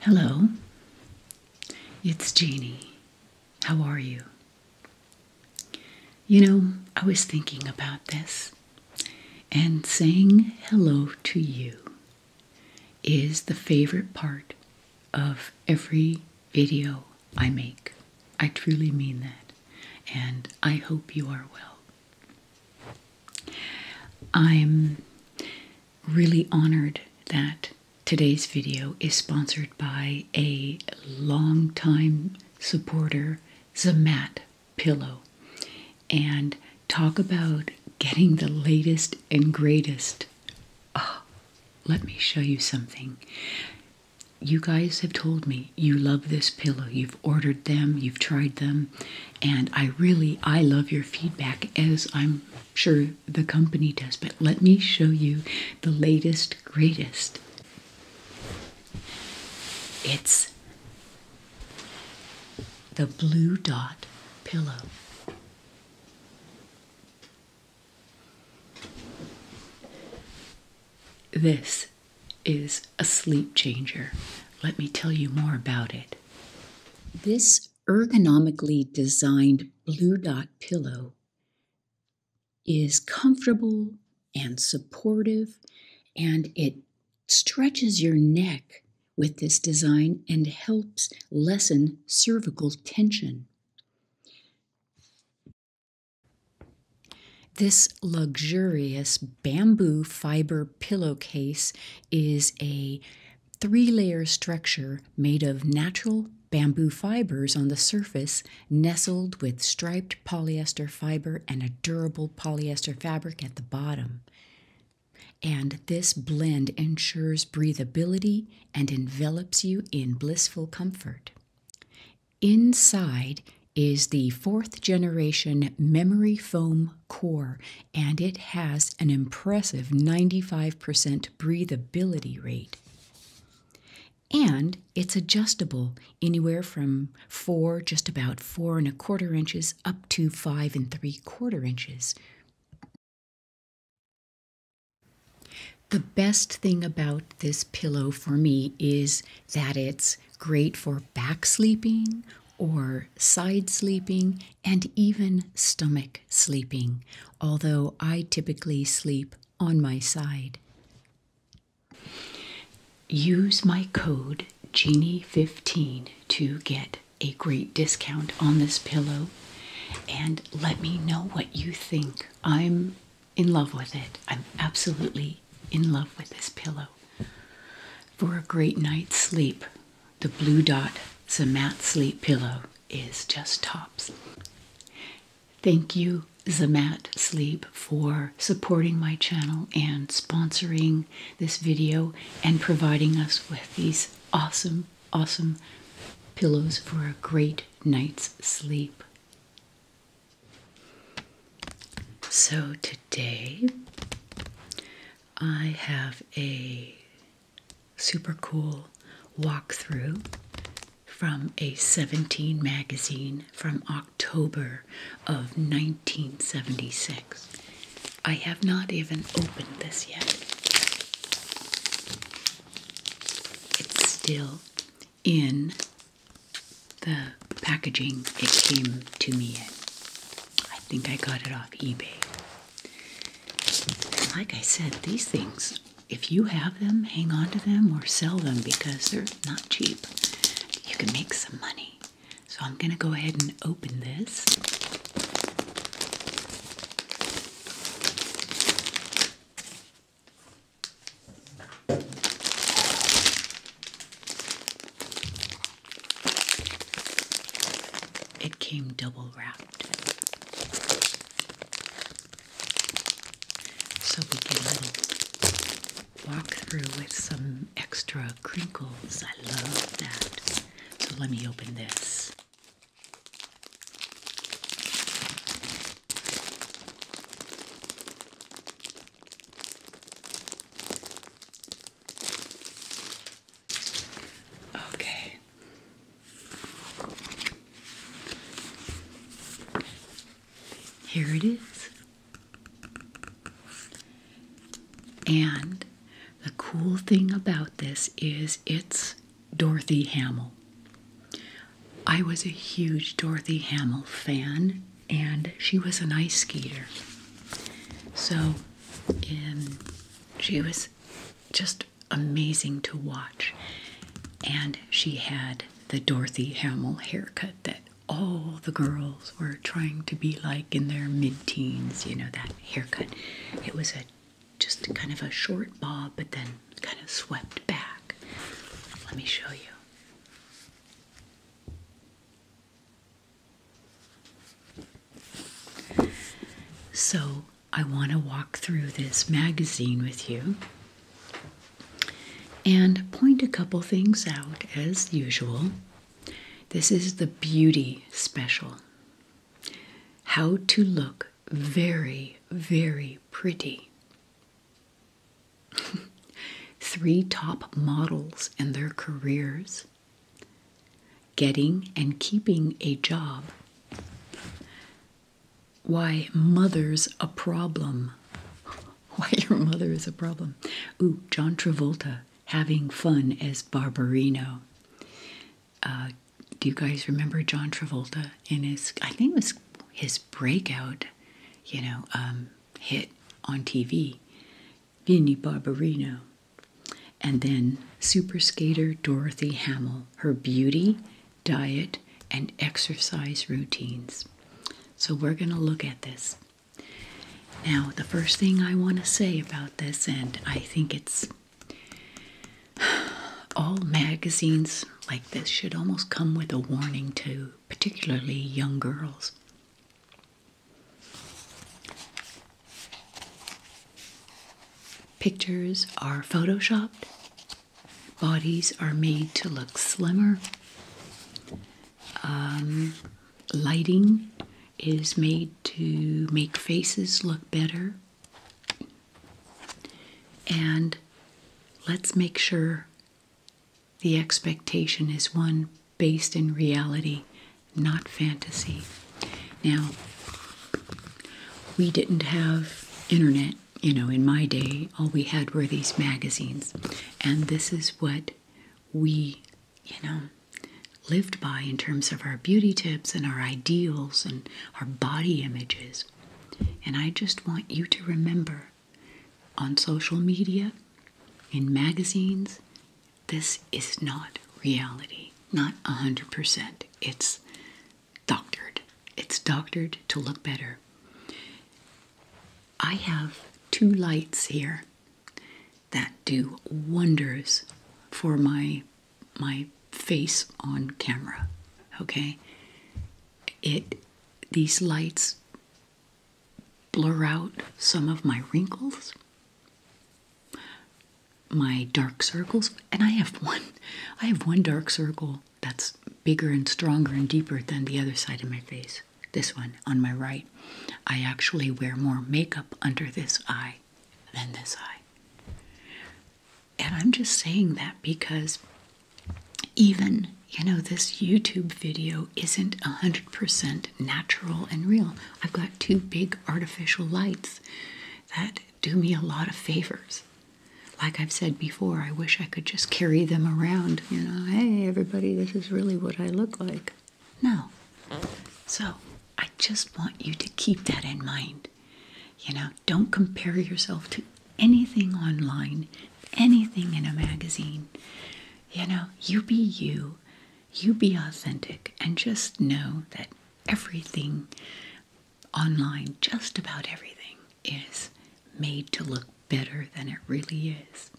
Hello, it's Jeannie. How are you? You know, I was thinking about this and saying hello to you is the favorite part of every video I make. I truly mean that, and I hope you are well. I'm really honored that today's video is sponsored by a longtime supporter, Zamat Pillow. And talk about getting the latest and greatest Oh, let me show you something. You guys have told me you love this pillow. You've ordered them, you've tried them, and I really I love your feedback as I'm sure the company does. But let me show you the latest greatest. It's the blue dot pillow. This is a sleep changer. Let me tell you more about it. This ergonomically designed blue dot pillow is comfortable and supportive, and it stretches your neck with this design and helps lessen cervical tension. This luxurious bamboo fiber pillowcase is a three layer structure made of natural bamboo fibers on the surface, nestled with striped polyester fiber and a durable polyester fabric at the bottom. And this blend ensures breathability and envelops you in blissful comfort. Inside is the fourth generation memory foam core, and it has an impressive 95% breathability rate. And it's adjustable anywhere from four, just about four and a quarter inches, up to five and three quarter inches. The best thing about this pillow for me is that it's great for back sleeping or side sleeping and even stomach sleeping, although I typically sleep on my side. Use my code Genie15 to get a great discount on this pillow and let me know what you think. I'm in love with it. I'm absolutely in love with this pillow. For a great night's sleep, the Blue Dot Zamat Sleep Pillow is just tops. Thank you, Zamat Sleep, for supporting my channel and sponsoring this video and providing us with these awesome awesome pillows for a great night's sleep. So today I have a super cool walkthrough from a 17 magazine from October of 1976. I have not even opened this yet. It's still in the packaging it came to me in. I think I got it off eBay. like I said, these things, if you have them, hang on to them or sell them because they're not cheap. You can make some money. So I'm going to go ahead and open this. It came double wrapped. So we did a little walk through with some extra crinkles. I love that. So let me open this. Okay. Here it is. And the cool thing about this is it's Dorothy Hamill. I was a huge Dorothy Hamill fan, and she was an ice skater. So, um, she was just amazing to watch. And she had the Dorothy Hamill haircut that all the girls were trying to be like in their mid teens, you know, that haircut. It was a just kind of a short bob, but then kind of swept back. Let me show you. So, I want to walk through this magazine with you and point a couple things out as usual. This is the beauty special. How to look very, very pretty. Three top models and their careers, getting and keeping a job. Why mother's a problem. Why your mother is a problem. Ooh, John Travolta having fun as Barbarino. Uh, do you guys remember John Travolta in his, I think it was his breakout, you know, um, hit on TV, Vinnie Barbarino. And then super skater Dorothy Hamill, her beauty, diet, and exercise routines. So we're going to look at this. Now, the first thing I want to say about this, and I think it's All magazines like this should almost come with a warning to particularly young girls. Pictures are photoshopped. Bodies are made to look slimmer. Um, lighting is made to make faces look better. And let's make sure the expectation is one based in reality, not fantasy. Now, we didn't have internet, you know, in my day. All we had were these magazines. And this is what we, you know, lived by in terms of our beauty tips and our ideals and our body images. And I just want you to remember on social media, in magazines, this is not reality, not 100%. It's doctored. It's doctored to look better. I have two lights here that do wonders for my my face on camera. Okay? It these lights blur out some of my wrinkles, my dark circles, and I have one I have one dark circle that's bigger and stronger and deeper than the other side of my face. This one on my right. I actually wear more makeup under this eye than this eye. And I'm just saying that because even, you know, this YouTube video isn't 100% natural and real. I've got two big artificial lights that do me a lot of favors. Like I've said before, I wish I could just carry them around. You know, hey, everybody, this is really what I look like. No. So I just want you to keep that in mind. You know, don't compare yourself to anything online, anything in a magazine. You know, you be you, you be authentic, and just know that everything online, just about everything, is made to look better than it really is.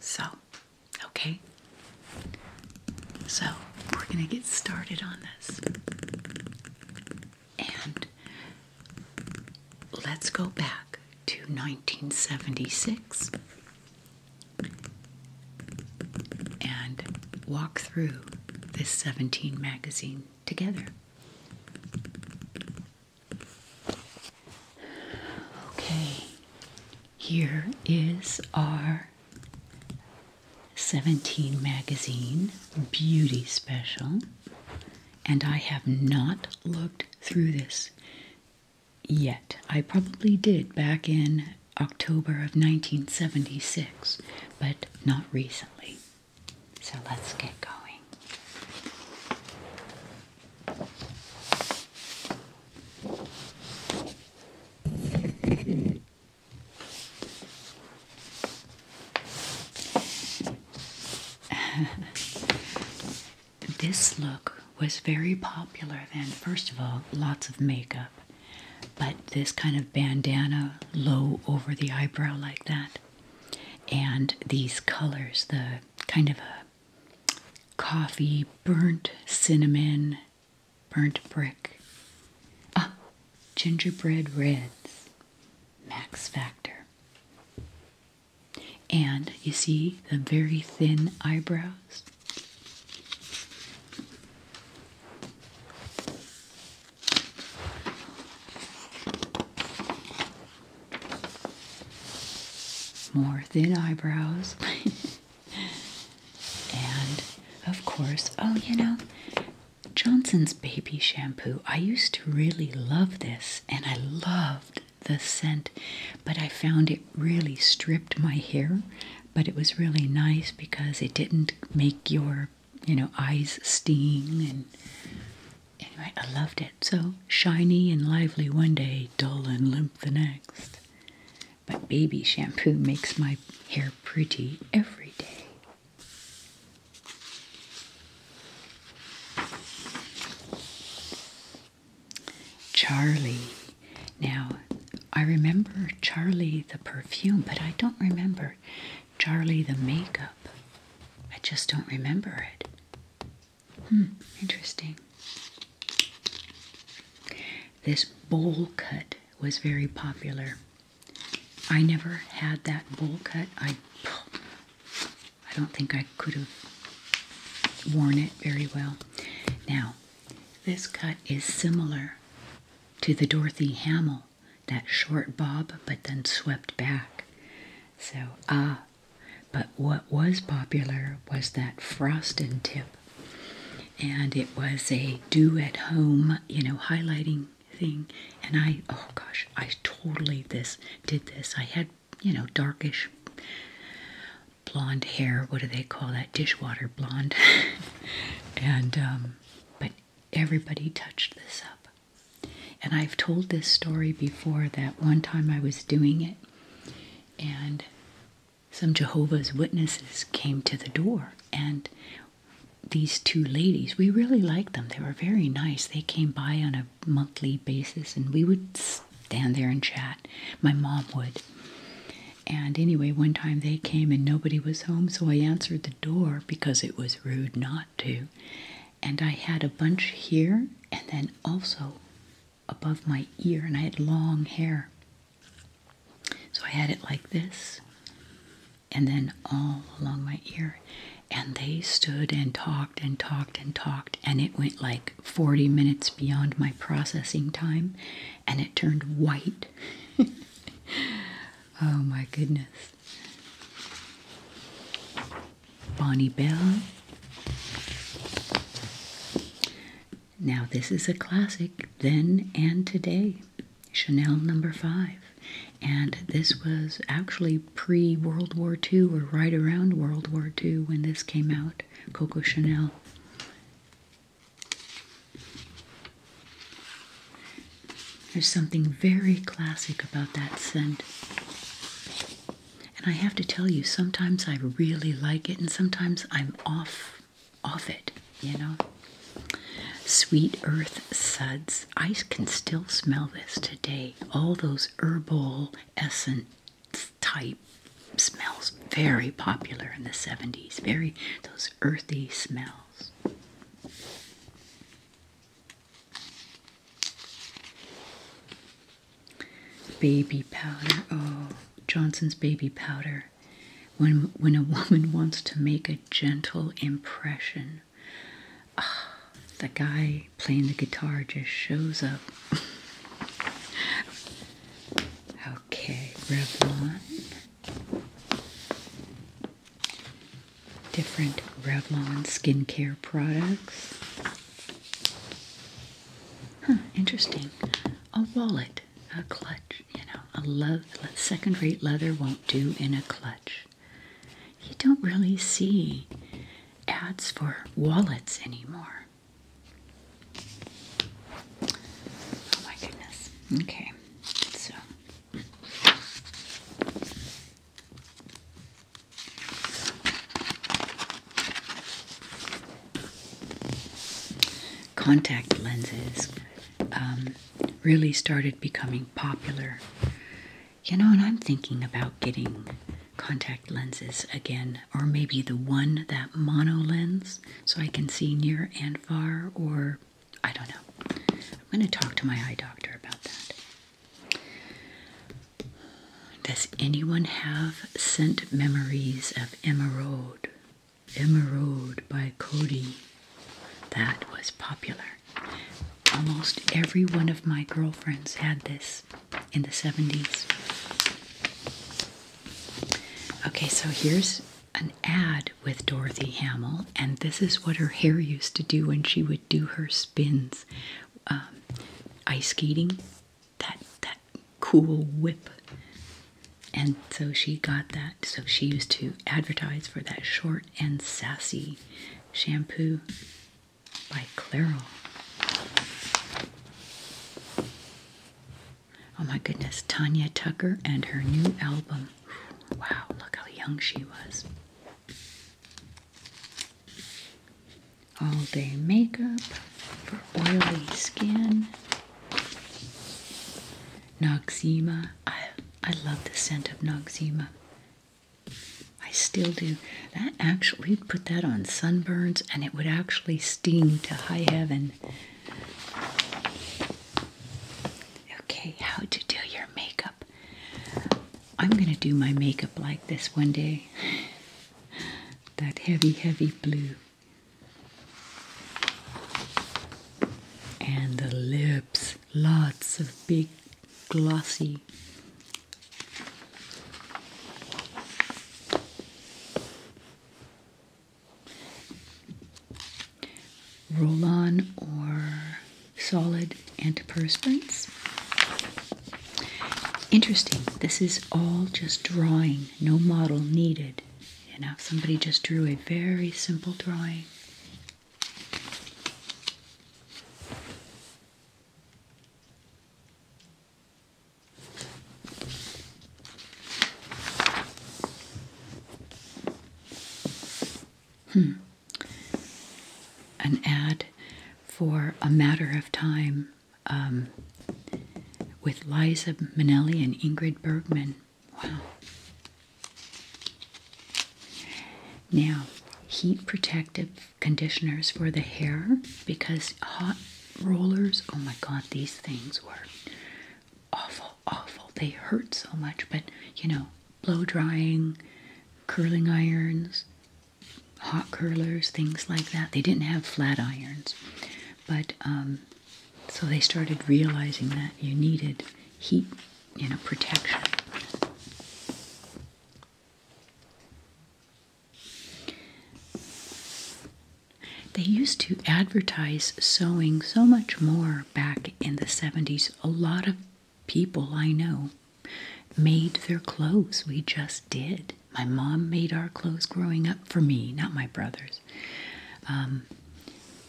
So, okay? So, we're going to get started on this. And let's go back to 1976 and walk through this 17 magazine together. Okay, here is our 17 magazine beauty special, and I have not looked through this yet. I probably did back in October of 1976, but not recently. So let's get going. this look was very popular then. First of all, lots of makeup, but this kind of bandana low over the eyebrow like that, and these colors the kind of a coffee, burnt cinnamon, burnt brick, ah, gingerbread reds max factor. And you see the very thin eyebrows? More thin eyebrows. and of course, oh, you know, Johnson's Baby Shampoo. I used to really love this and I loved the scent, but I found it really stripped my hair. But it was really nice because it didn't make your, you know, eyes sting. And anyway, I loved it. So shiny and lively one day, dull and limp the next. But baby shampoo makes my hair pretty every day. Charlie. Now, I remember Charlie the perfume, but I don't remember Charlie the makeup. I just don't remember it. Hmm, interesting. This bowl cut was very popular. I never had that bowl cut. I I don't think I could have worn it very well. Now, this cut is similar to the Dorothy Hamill, that short bob but then swept back. So, ah, but what was popular was that frosted tip. And it was a do at home, you know, highlighting thing. And I, oh gosh, I totally this did this. I had, you know, darkish blonde hair. What do they call that? Dishwater blonde. and, um, but everybody touched this up. And I've told this story before that one time I was doing it and some Jehovah's Witnesses came to the door and these two ladies. We really liked them. They were very nice. They came by on a monthly basis and we would stand there and chat. My mom would. And anyway, one time they came and nobody was home, so I answered the door because it was rude not to. And I had a bunch here and then also above my ear, and I had long hair. So I had it like this and then all along my ear. And they stood and talked and talked and talked, and it went like 40 minutes beyond my processing time, and it turned white. oh my goodness. Bonnie Bell. Now, this is a classic then and today. Chanel number five. And this was actually pre World War II or right around World War II when this came out Coco Chanel. There's something very classic about that scent. And I have to tell you, sometimes I really like it and sometimes I'm off off it, you know. Sweet Earth Suds. I can still smell this today. All those herbal essence type smells very popular in the 70s. Very those earthy smells. Baby powder. Oh, Johnson's baby powder. When when a woman wants to make a gentle impression one. Ah, the guy playing the guitar just shows up. okay, Revlon. Different Revlon skincare products. interesting. A wallet, a clutch, you know, a second rate leather won't do in a clutch. You don't really see ads for wallets anymore. Oh my goodness. Okay, so. Contact lenses um, really started becoming popular you know, and I'm thinking about getting contact lenses again, or maybe the one, that mono lens, so I can see near and far, or I don't know. I'm going to talk to my eye doctor about that. Does anyone have scent memories of Emerald? Emerald by Cody. That was popular. Almost every one of my girlfriends had this in the 70s. Okay, so here's an ad with Dorothy Hamill, and this is what her hair used to do when she would do her spins. Um, ice skating, that that cool whip. And so she got that. So she used to advertise for that short and sassy shampoo by Clairol. Oh my goodness, Tanya Tucker and her new album. Wow, look how young she was. All day makeup for oily skin. Noxzema. I, I love the scent of Noxzema. I still do. That actually, you would put that on sunburns and it would actually steam to high heaven. Okay, how to do your makeup. I'm gonna do my makeup like this one day. That heavy, heavy blue. And the lips lots of big glossy roll on or solid antiperspirants. Interesting, this is all just drawing, no model needed. Enough. somebody just drew a very simple drawing. Hmm. An ad for A Matter of Time um, with Liza Minnelli and Ingrid Bergman. Wow. Now, heat protective conditioners for the hair because hot rollers, oh my god, these things were awful, awful. They hurt so much, but you know, blow drying, curling irons, hot curlers, things like that. They didn't have flat irons, but um, so they started realizing that you needed heat, you know, protection. They used to advertise sewing so much more back in the 70s. A lot of people I know made their clothes. We just did. My mom made our clothes growing up for me, not my brothers. Um,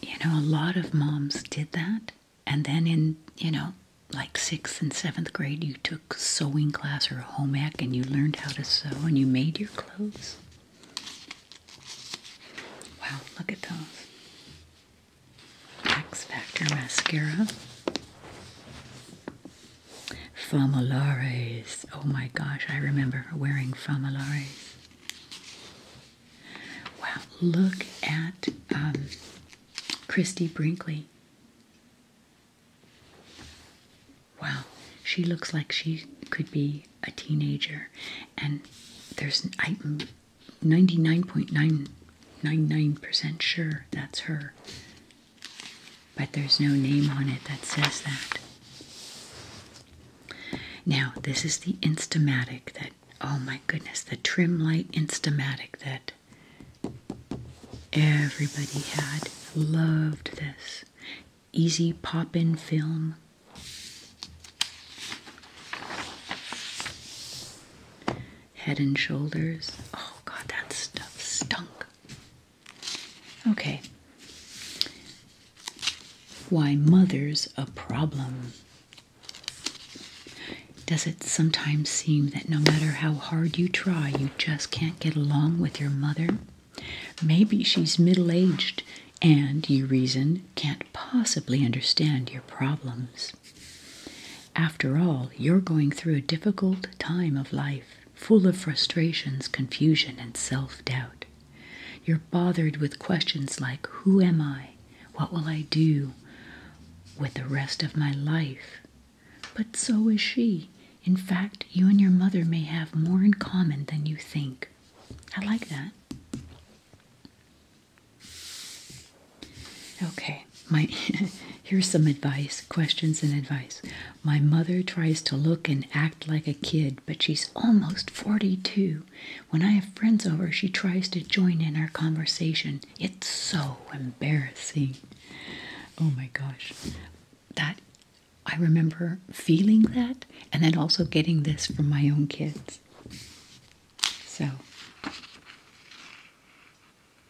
you know, a lot of moms did that and then in you know like sixth and seventh grade you took sewing class or home ec and you learned how to sew and you made your clothes wow look at those X Factor mascara Famalares oh my gosh I remember wearing Famalares wow look at um Christy Brinkley Wow, she looks like she could be a teenager, and there's I'm 99.999% sure that's her, but there's no name on it that says that. Now, this is the Instamatic that, oh my goodness, the trim light Instamatic that Everybody had loved this easy pop in film. Head and shoulders. Oh god, that stuff stunk. Okay. Why mother's a problem. Does it sometimes seem that no matter how hard you try, you just can't get along with your mother? Maybe she's middle aged and, you reason, can't possibly understand your problems. After all, you're going through a difficult time of life, full of frustrations, confusion, and self doubt. You're bothered with questions like Who am I? What will I do with the rest of my life? But so is she. In fact, you and your mother may have more in common than you think. I like that. Okay, my here's some advice, questions and advice. My mother tries to look and act like a kid, but she's almost 42. When I have friends over, she tries to join in our conversation. It's so embarrassing. Oh my gosh. That I remember feeling that and then also getting this from my own kids. So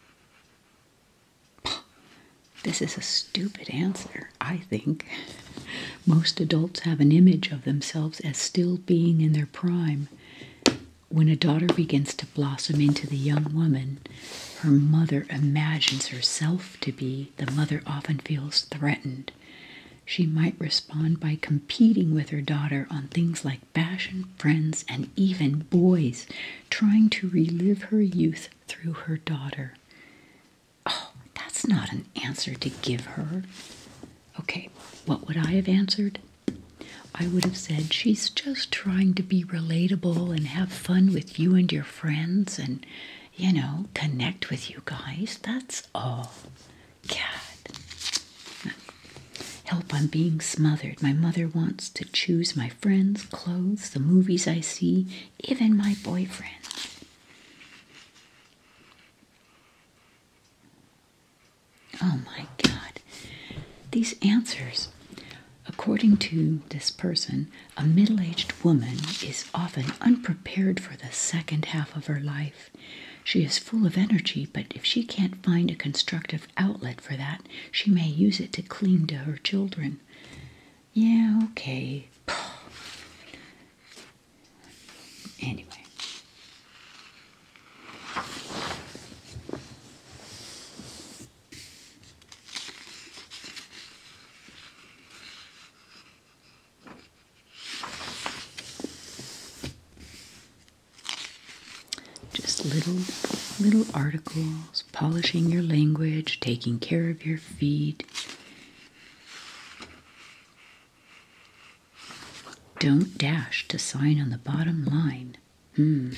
this is a stupid answer, I think. Most adults have an image of themselves as still being in their prime. When a daughter begins to blossom into the young woman her mother imagines herself to be, the mother often feels threatened. She might respond by competing with her daughter on things like fashion, friends, and even boys, trying to relive her youth through her daughter. Oh, that's not an answer to give her. Okay, what would I have answered? I would have said, She's just trying to be relatable and have fun with you and your friends and, you know, connect with you guys. That's all. God. Help, I'm being smothered. My mother wants to choose my friends, clothes, the movies I see, even my boyfriend. Oh my God. These answers. According to this person, a middle aged woman is often unprepared for the second half of her life. She is full of energy, but if she can't find a constructive outlet for that, she may use it to cling to her children. Yeah, okay. Anyway. Just little little articles, polishing your language, taking care of your feed. Don't dash to sign on the bottom line. Hmm.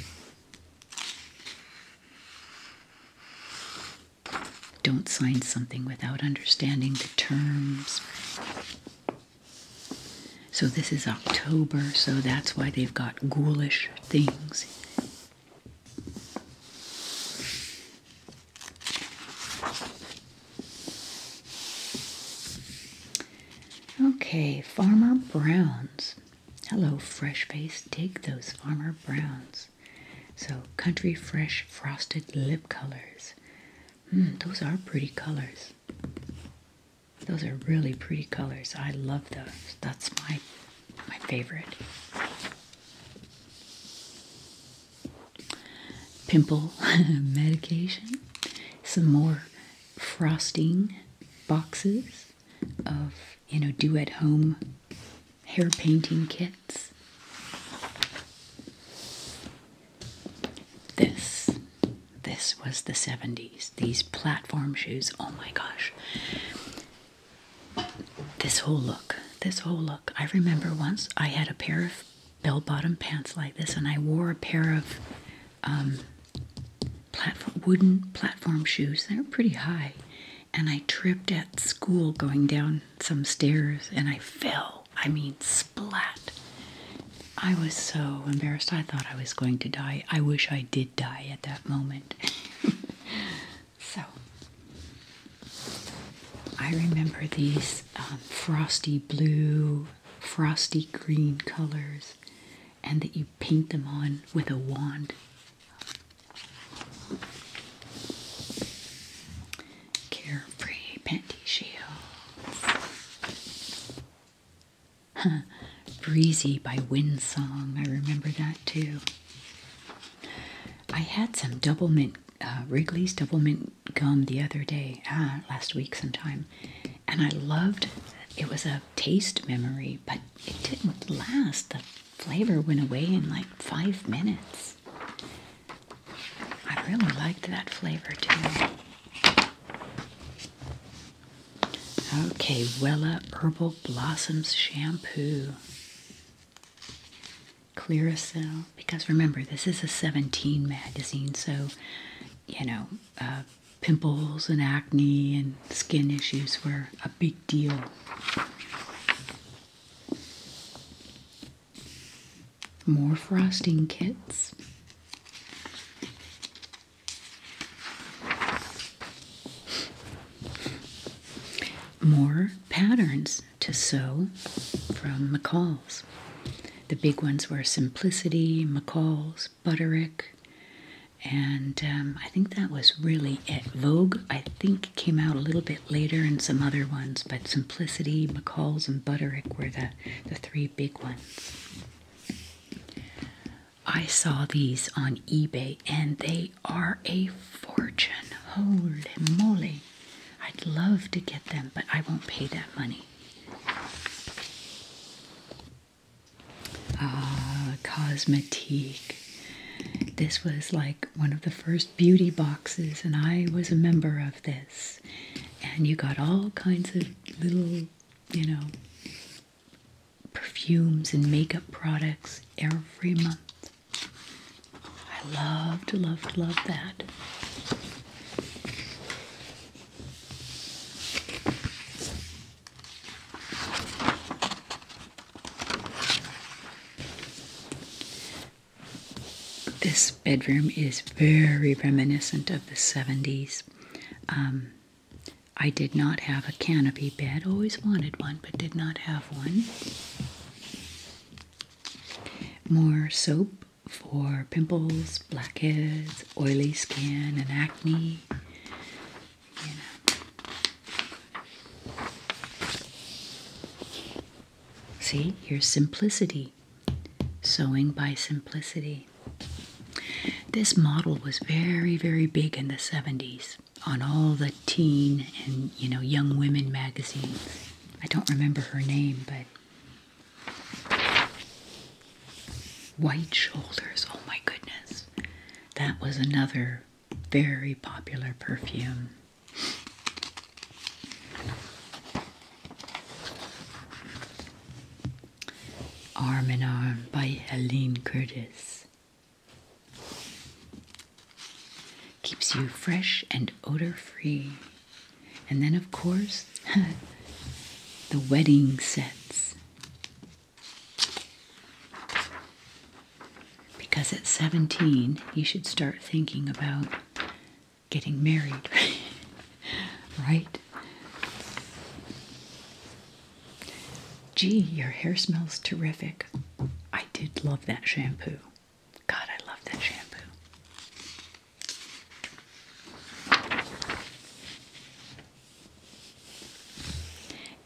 Don't sign something without understanding the terms. So this is October, so that's why they've got ghoulish things. Okay, Farmer Brown's. Hello, fresh face. Dig those farmer browns. So, country fresh frosted lip colors. Mm, those are pretty colors. Those are really pretty colors. I love those. That's my my favorite. Pimple medication. Some more frosting boxes of, you know, do at home hair painting kits. This, this was the 70s. These platform shoes, oh my gosh. This whole look, this whole look. I remember once I had a pair of bell bottom pants like this, and I wore a pair of um, wooden platform shoes. They're pretty high. And I tripped at school going down some stairs and I fell. I mean, splat. I was so embarrassed. I thought I was going to die. I wish I did die at that moment. so, I remember these um, frosty blue, frosty green colors and that you paint them on with a wand. Carefree panty shields. Breezy by Windsong. I remember that too. I had some double mint, uh, Wrigley's double mint gum the other day, ah, last week sometime, and I loved. It was a taste memory, but it didn't last. The flavor went away in like five minutes. I really liked that flavor too. Okay, Wella Purple Blossoms Shampoo. Clearasil, because remember, this is a 17 magazine, so you know, uh, pimples and acne and skin issues were a big deal. More frosting kits. More patterns to sew from McCall's. The big ones were Simplicity, McCall's, Butterick, and um, I think that was really it. Vogue, I think, came out a little bit later, and some other ones, but Simplicity, McCall's, and Butterick were the the three big ones. I saw these on eBay, and they are a fortune. Holy moly! I'd love to get them, but I won't pay that money. Ah, Cosmetique. This was like one of the first beauty boxes, and I was a member of this. And you got all kinds of little, you know, perfumes and makeup products every month. I loved, loved, loved that. This bedroom is very reminiscent of the 70s. Um, I did not have a canopy bed, always wanted one, but did not have one. More soap for pimples, blackheads, oily skin, and acne. See, here's simplicity. Sewing by simplicity. This model was very, very big in the 70s on all the teen and, you know, young women magazines. I don't remember her name, but White Shoulders. Oh my goodness. That was another very popular perfume. Arm in Arm by Helene Curtis. Keeps you fresh and odor free. And then, of course, the wedding sets. Because at 17, you should start thinking about getting married, right? Gee, your hair smells terrific. I did love that shampoo. God, I love that shampoo.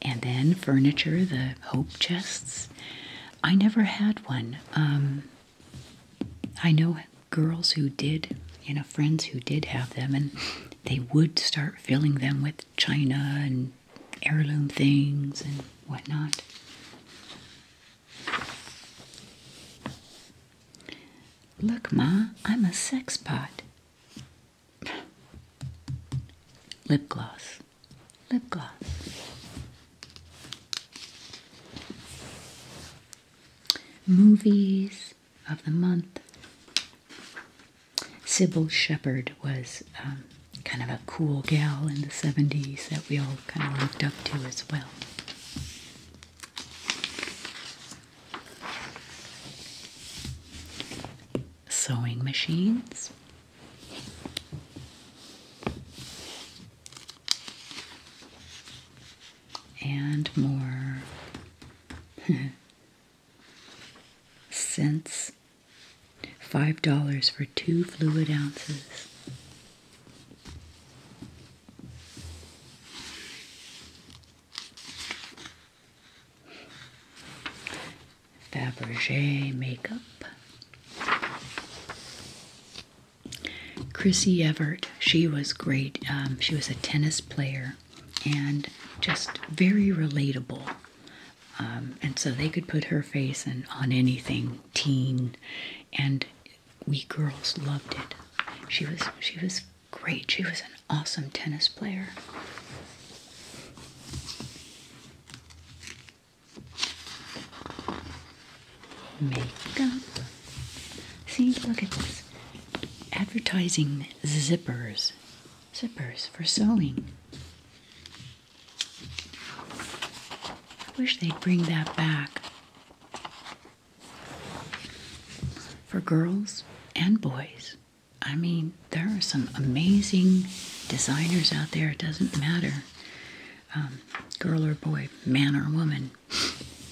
And then furniture, the hope chests. I never had one. Um, I know girls who did, you know, friends who did have them, and they would start filling them with china and heirloom things and whatnot. Look, Ma, I'm a sex pot lip gloss, lip gloss. Movies of the month. Sybil Shepherd was um, kind of a cool gal in the 70s that we all kind of looked up to as well sewing machines. And more cents, five dollars for two fluid ounces. Fabergé makeup. Chrissy Evert, she was great. Um, she was a tennis player and just very relatable. Um, and so they could put her face in, on anything teen, and we girls loved it. She was she was great. She was an awesome tennis player. Makeup. See, look at this. Advertising zippers. Zippers for sewing. wish they'd bring that back. For girls and boys. I mean, there are some amazing designers out there. It doesn't matter, um, girl or boy, man or woman,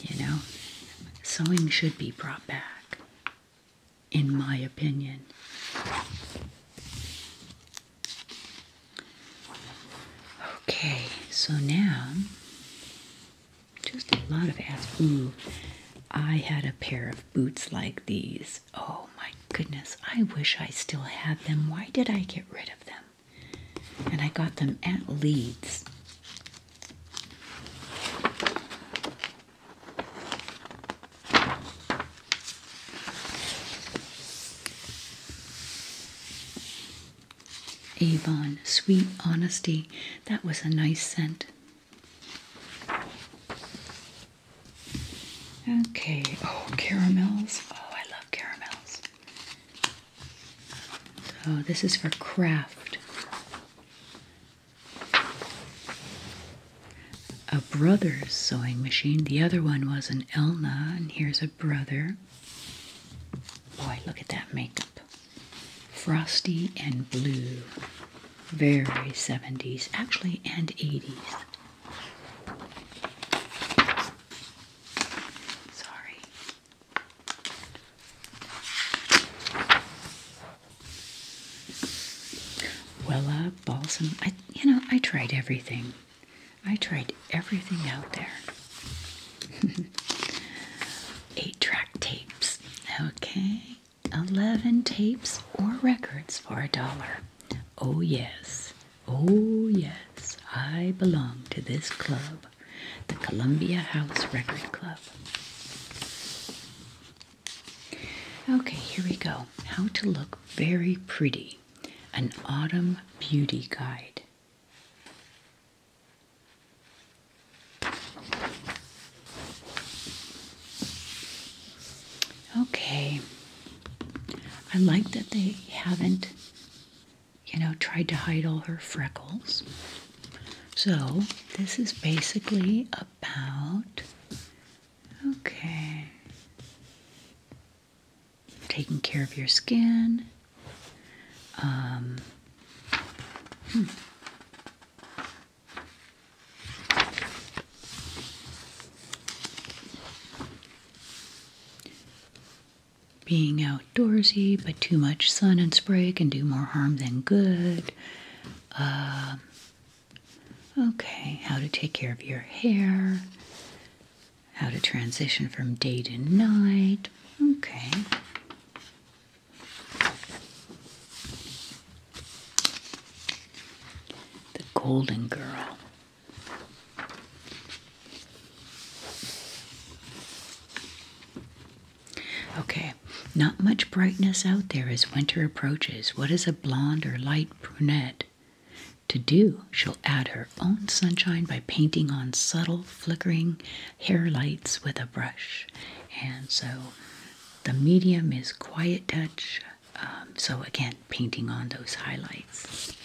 you know. Sewing should be brought back, in my opinion. Okay, so now, just a lot of ads. Ooh, I had a pair of boots like these. Oh my goodness, I wish I still had them. Why did I get rid of them? And I got them at Leeds. Avon, sweet honesty. That was a nice scent. Okay, oh, caramels. Oh, I love caramels. So, oh, this is for craft. A brother's sewing machine. The other one was an Elna, and here's a brother. Boy, look at that makeup. Frosty and blue. Very 70s, actually, and 80s. Sorry. Wella balsam. I, you know, I tried everything. I tried everything out there. Eight track tapes. Okay. 11 tapes or records for a dollar. Oh, yes, oh, yes, I belong to this club, the Columbia House Record Club. Okay, here we go. How to look very pretty. An autumn beauty guide. Okay. I like that they haven't, you know, tried to hide all her freckles. So, this is basically about, okay, taking care of your skin. Um, hmm. Being outdoorsy, but too much sun and spray can do more harm than good. Um, okay, how to take care of your hair, how to transition from day to night. Okay. The Golden Girl. Okay, not much brightness out there as winter approaches. What is a blonde or light brunette to do? She'll add her own sunshine by painting on subtle, flickering hair lights with a brush. And so the medium is quiet touch, um, so again, painting on those highlights.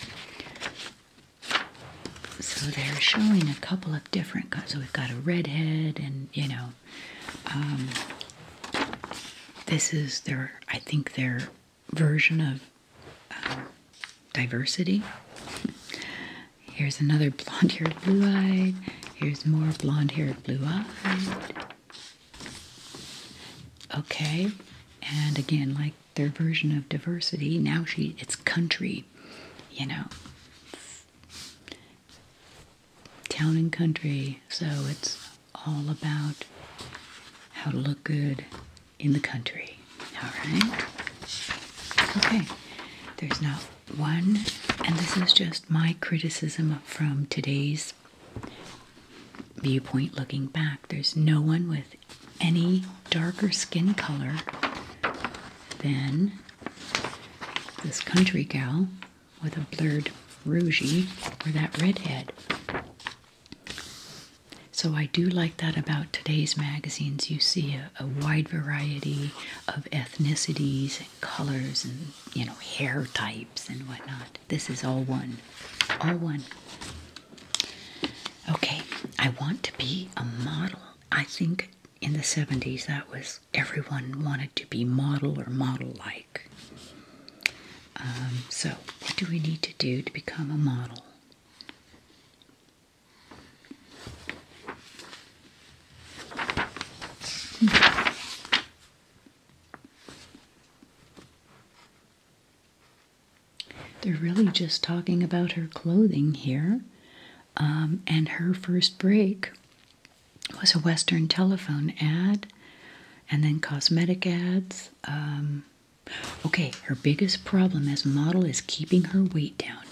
So they're showing a couple of different So we've got a redhead, and you know, um, this is their, I think, their version of um, diversity. Here's another blonde haired, blue eyed. Here's more blonde haired, blue eyed. Okay, and again, like their version of diversity, now she it's country, you know, town and country. So it's all about how to look good in the country. All right. Okay. There's not one, and this is just my criticism from today's viewpoint looking back. There's no one with any darker skin color than this country gal with a blurred rougey or that redhead. So I do like that about today's magazines. You see a, a wide variety of ethnicities and colors and you know hair types and whatnot. This is all one. All oh one. Okay, I want to be a model. I think in the 70s that was everyone wanted to be model or model like. Um, so, what do we need to do to become a model? Hmm. They're really just talking about her clothing here. Um, and her first break was a Western telephone ad and then cosmetic ads. Um, okay, her biggest problem as model is keeping her weight down.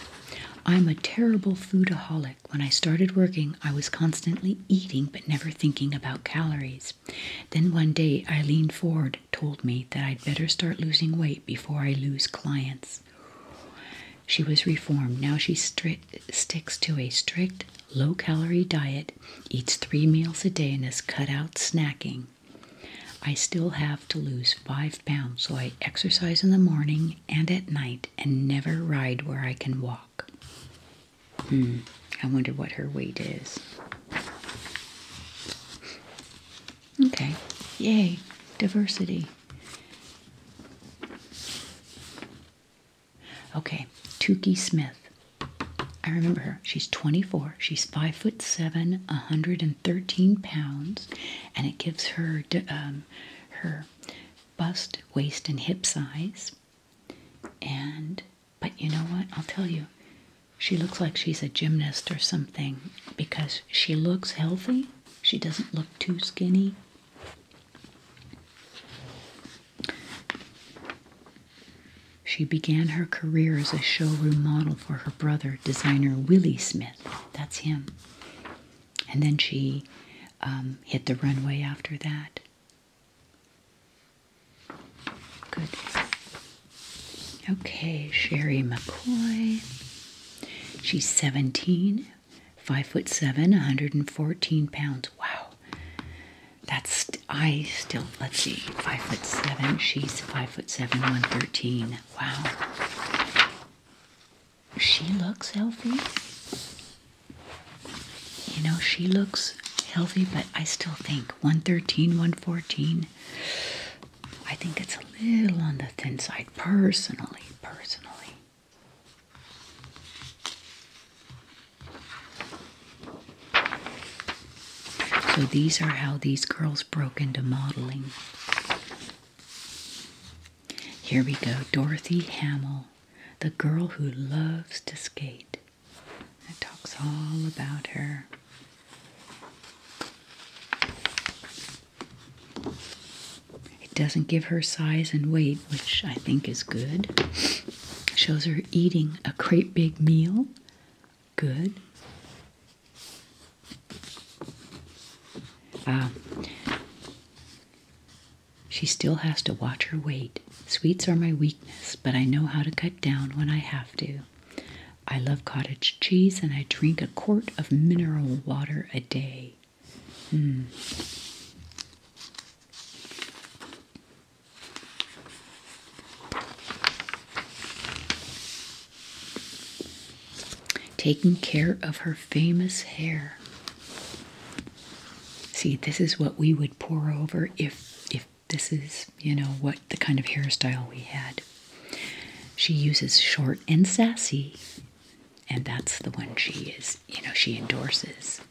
I'm a terrible foodaholic. When I started working, I was constantly eating but never thinking about calories. Then one day, Eileen Ford told me that I'd better start losing weight before I lose clients. She was reformed. Now she sticks to a strict, low calorie diet, eats three meals a day, and has cut out snacking. I still have to lose five pounds, so I exercise in the morning and at night and never ride where I can walk. Hmm, I wonder what her weight is. Okay, yay, diversity. Okay, Tukey Smith. I remember her. She's 24. She's 5 foot 7, 113 pounds, and it gives her um, her bust, waist, and hip size. And but you know what? I'll tell you, she looks like she's a gymnast or something because she looks healthy. She doesn't look too skinny. She began her career as a showroom model for her brother, designer Willie Smith. That's him. And then she um, hit the runway after that. Good. Okay, Sherry McCoy. She's 17, 5 foot 7, 114 pounds. Wow. That's I still let's see, 5 foot 7. She's 5 foot 7, 113. Wow. She looks healthy. You know, she looks healthy, but I still think 113, 114 114. I think it's a little on the thin side, personally, personally. So these are how these girls broke into modeling. Here we go Dorothy Hamill, the girl who loves to skate. It talks all about her. It doesn't give her size and weight, which I think is good. shows her eating a great big meal. Good. Uh, she still has to watch her weight. Sweets are my weakness, but I know how to cut down when I have to. I love cottage cheese and I drink a quart of mineral water a day. Hmm. Taking care of her famous hair. See, this is what we would pore over if if this is, you know, what the kind of hairstyle we had. She uses short and sassy, and that's the one she is, you know, she endorses.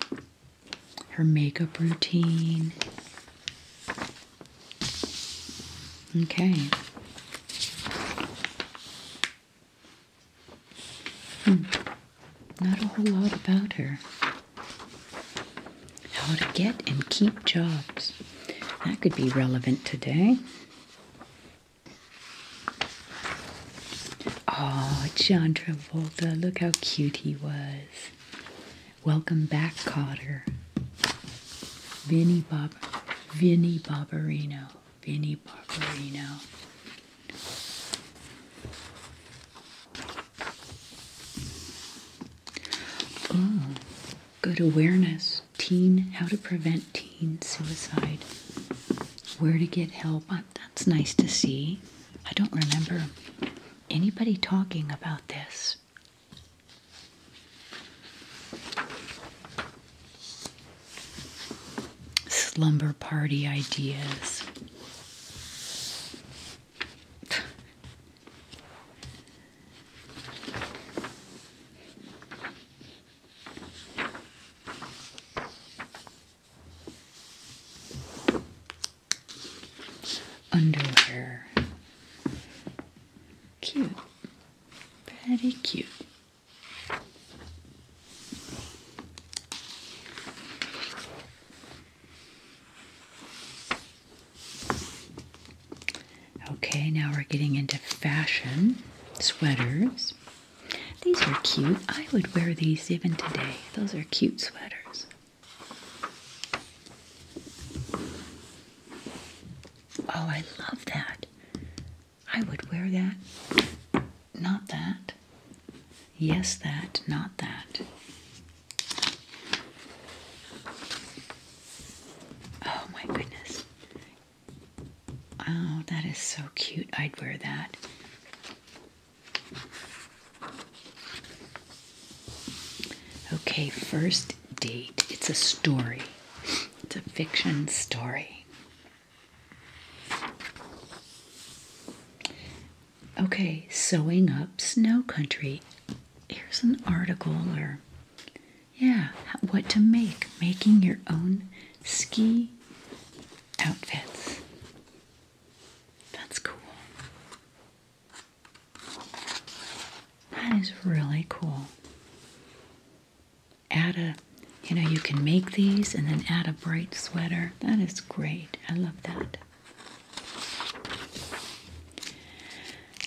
Her makeup routine. Okay. Hmm. Not a whole lot about her. How to get and keep jobs. That could be relevant today. Oh, John Travolta, look how cute he was. Welcome back, Cotter. Vinnie Bob Vinnie Barbarino. Vinnie Barbarino. Oh, good awareness. Teen, how to prevent teen suicide. Where to get help. Uh, that's nice to see. I don't remember anybody talking about this. Slumber party ideas. Underwear. Cute. Very cute. Okay, now we're getting into fashion sweaters. These are cute. I would wear these even today. Those are cute sweaters. Oh, I love that. I would wear that. Not that. Yes, that. Not that. Oh my goodness. Oh, that is so cute. I'd wear that. Okay, first date. It's a story, it's a fiction story. Okay, sewing up snow country here's an article or yeah, what to make, making your own ski outfits. That's cool. That is really cool. Add a, you know, you can make these and then add a bright sweater. That is great. I love that.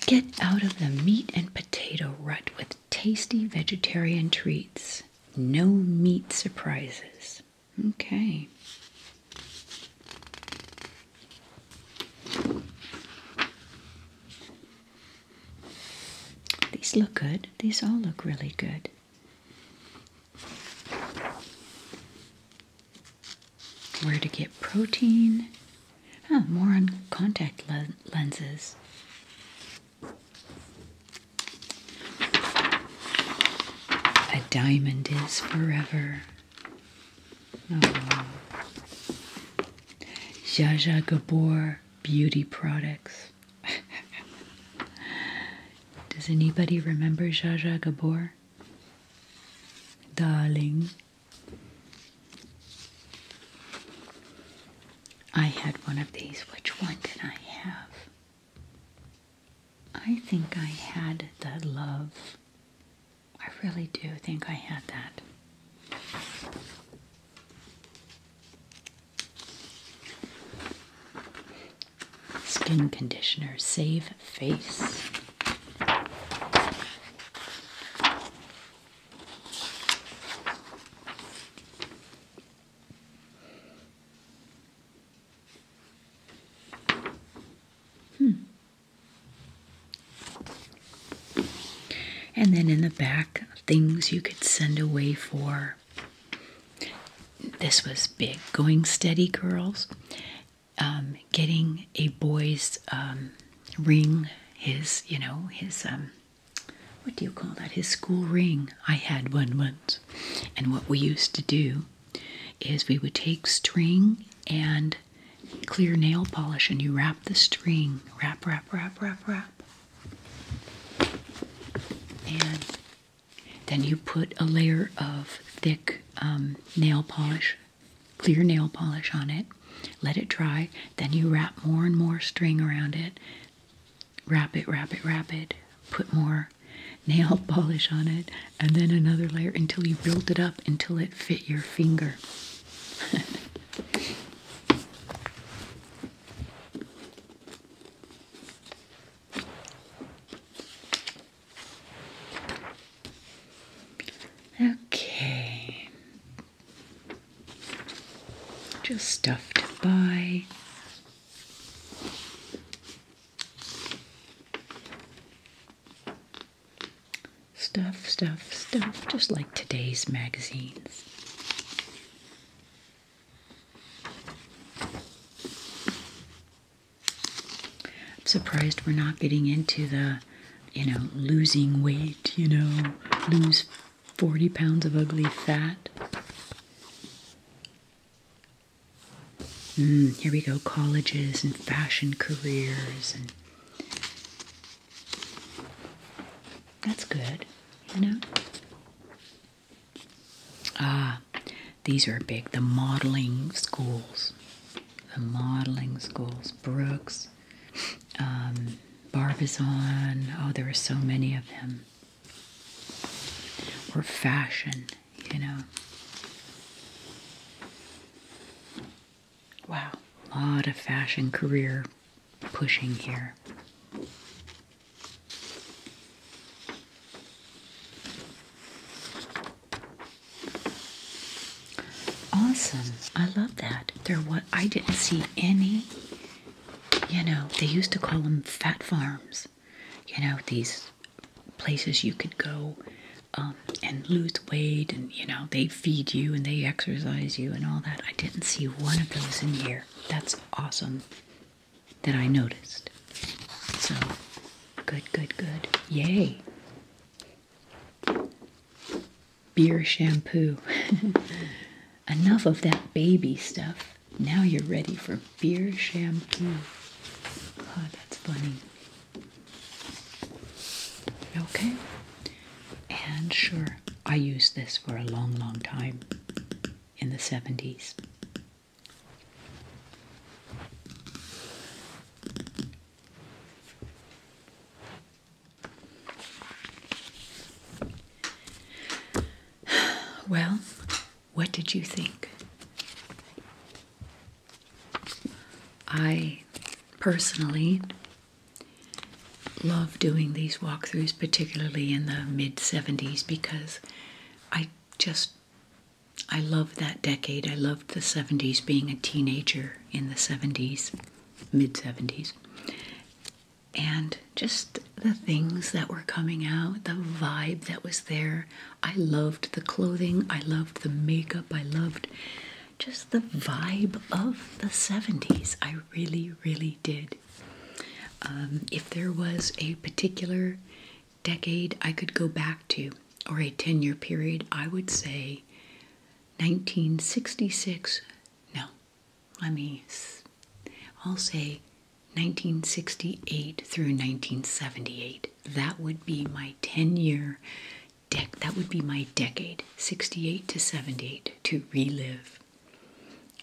Get out of the meat and potato rut with tasty vegetarian treats. No meat surprises. Okay. These look good. These all look really good where to get protein. more on contact lenses. A diamond is forever. Oh. Jaja Gabor beauty products. Does anybody remember Jaja Gabor? Darling. I had one of these. Which one did I have? I think I had the love. I really do think I had that. Skin conditioner, save face. Hmm. And then in the back, things you could send away for. This was big. Going steady girls um, getting a boy's um, ring, his, you know, his, um, what do you call that? His school ring. I had one once. And what we used to do is we would take string and clear nail polish and you wrap the string. Wrap, wrap, wrap, wrap, wrap. And then you put a layer of thick um, nail polish clear nail polish on it, let it dry, then you wrap more and more string around it, wrap it, wrap it, wrap it, put more nail polish on it, and then another layer until you build it up until it fit your finger. Okay. Just stuff to buy. Stuff, stuff, stuff, just like today's magazines. I'm surprised we're not getting into the you know, losing weight, you know, lose 40 pounds of ugly fat. Hmm, here we go, colleges and fashion careers and that's good, you know. Ah, these are big. The modeling schools, the modeling schools, Brooks, um, Barbizon. Oh, there were so many of them. Or fashion, you know. Wow, a lot of fashion career pushing here. Awesome. I love that. They're what I didn't see any, you know, they used to call them fat farms. You know, these places you could go um, and lose weight and, you know, they feed you and they exercise you and all that. I didn't see one of those in here. That's awesome that I noticed. So, good, good, good. Yay. Beer shampoo. Enough of that baby stuff. Now you're ready for beer shampoo. Oh, that's funny. Okay. And sure, I used this for a long, long time in the 70s. Well, what did you think? I personally love doing these walkthroughs, particularly in the mid 70s, because I just I love that decade. I loved the 70s, being a teenager in the 70s mid 70s. And just the things that were coming out, the vibe that was there. I loved the clothing, I loved the makeup, I loved just the vibe of the 70s. I really, really did. Um, if there was a particular decade I could go back to or a 10 year period, I would say 1966. No, let me, I'll say 1968 through 1978. That would be my 10 year deck, that would be my decade, 68 to 78, to relive.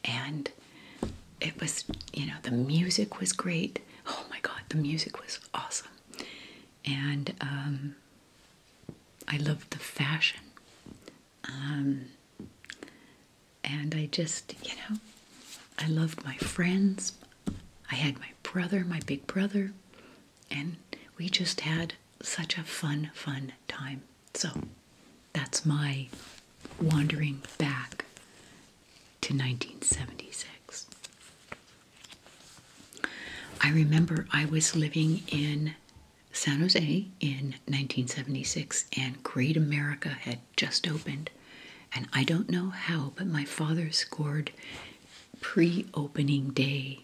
And it was, you know, the music was great. Oh my God, the music was awesome. And um, I loved the fashion. Um, and I just, you know, I loved my friends. I had my brother, my big brother, and we just had such a fun, fun time. So that's my wandering back to 1976. I remember I was living in San Jose in 1976 and Great America had just opened. And I don't know how, but my father scored pre opening day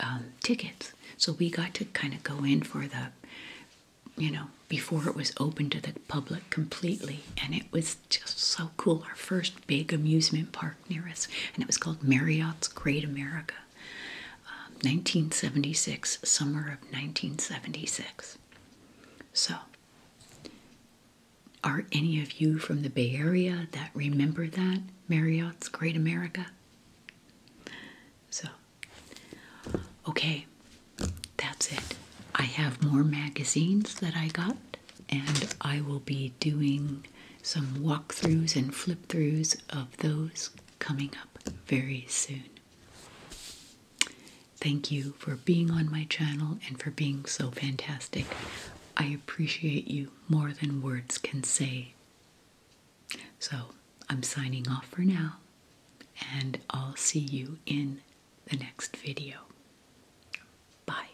um, tickets. So we got to kind of go in for the, you know, before it was open to the public completely. And it was just so cool. Our first big amusement park near us. And it was called Marriott's Great America. 1976, um, summer of 1976. So, are any of you from the Bay Area that remember that? Marriott's Great America? So, okay, that's it. I have more magazines that I got, and I will be doing some walkthroughs and flip throughs of those coming up very soon. Thank you for being on my channel and for being so fantastic. I appreciate you more than words can say. So I'm signing off for now, and I'll see you in the next video. Bye.